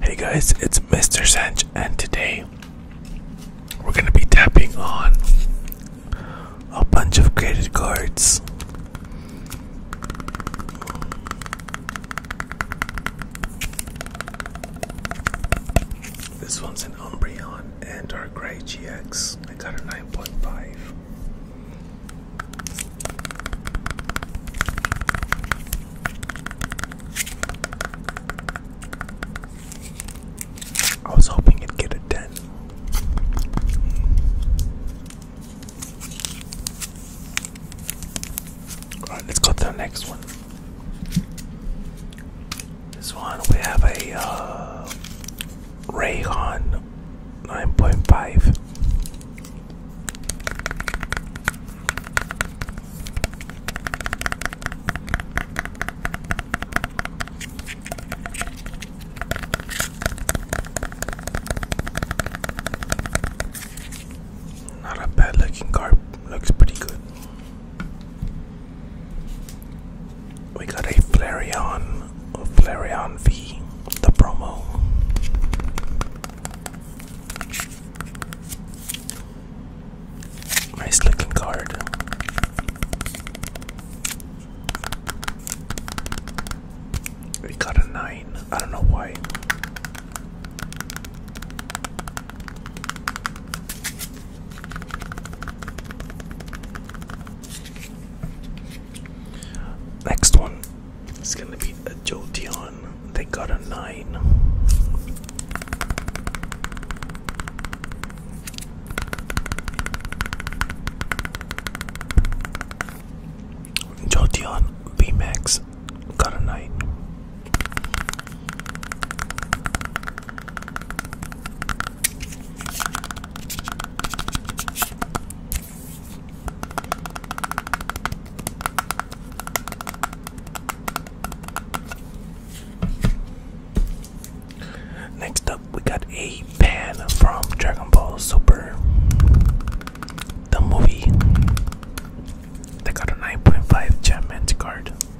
Hey guys, it's Mr. Sanch, and today we're gonna be tapping on a bunch of credit cards. This one's an Umbreon and our gray GX. I got a 9.5. I was hoping it'd get a 10. Alright, let's go to the next one. This one we have a uh, Raycon 9.5. Not a bad looking car, looks pretty good. We got a Flareon Flareon V, the promo. Nice looking card. We got a nine. I don't know why. Next one is gonna be a Jolteon. They got a nine. Jolteon VMAX got a nine. Next up, we got a pan from Dragon Ball Super, the movie. They got a 9.5 Gem card.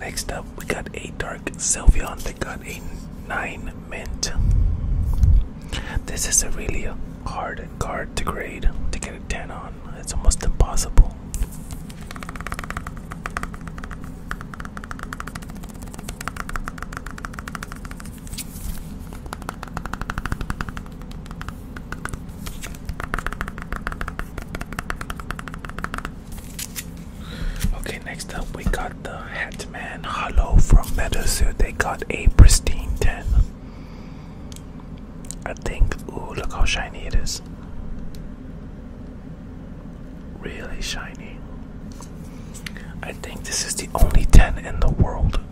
Next up, we got a dark sylvian. that got a 9 mint. This is a really hard card to grade to get a 10 on. It's almost impossible. Okay, next up we got the Hat Man Hollow from Meadowsuit. They got a pristine 10. I think, ooh, look how shiny it is. Really shiny. I think this is the only 10 in the world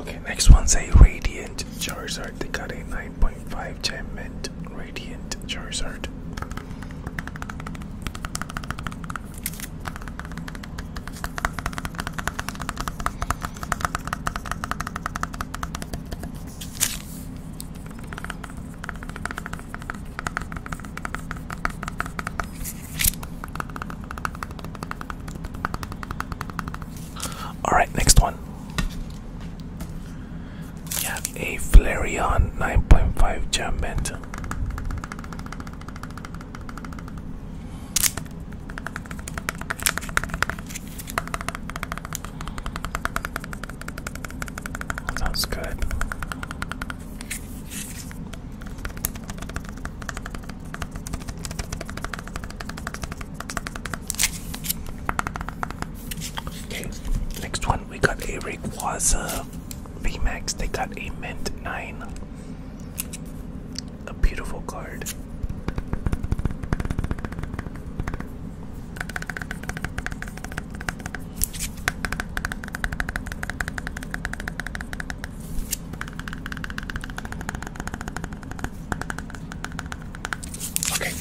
Okay, next one's a Radiant Charizard. They got a 9.5 gem mint Radiant Charizard. All right, next one. We have a Flareon 9.5 Gemment. Sounds good. Okay, next one we got a Rayquaza VMAX. They got a Mint 9. A beautiful card. Okay.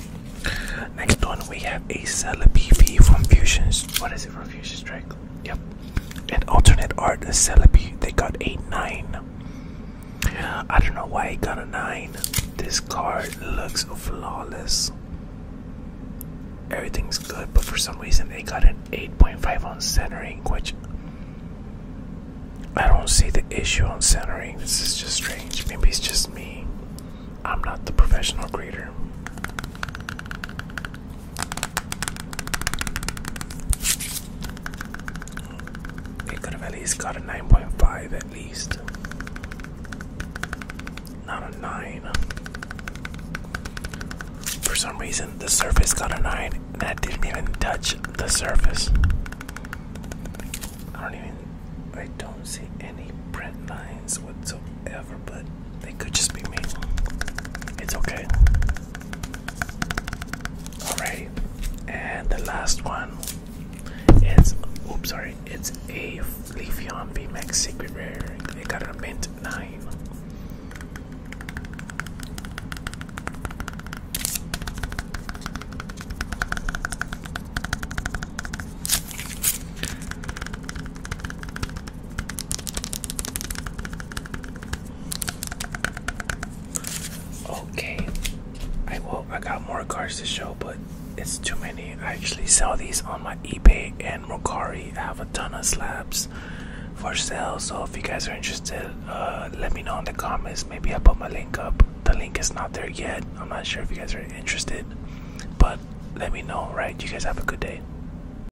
Next one we have a Celebi from Fusions. What is it from Fusions, Strike? Yep. An alternate art Celebi. They got a nine. I don't know why he got a 9. This card looks flawless. Everything's good, but for some reason they got an 8.5 on centering, which I don't see the issue on centering. This is just strange. Maybe it's just me. I'm not the professional grader. It could have at least got a 9.5 at least. Not a 9. For some reason, the surface got a 9 and I didn't even touch the surface. I don't even, I don't see any print lines whatsoever, but they could just be me. It's okay. All right, and the last one its oops, sorry, it's a Leafeon VMAX Secret Rare. They got a mint nine. Okay. I will I got more cards to show, but it's too many. I actually sell these on my eBay and Mercari. I have a ton of slabs for sale. So if you guys are interested, uh, let me know in the comments. Maybe i put my link up. The link is not there yet. I'm not sure if you guys are interested, but let me know, right? You guys have a good day.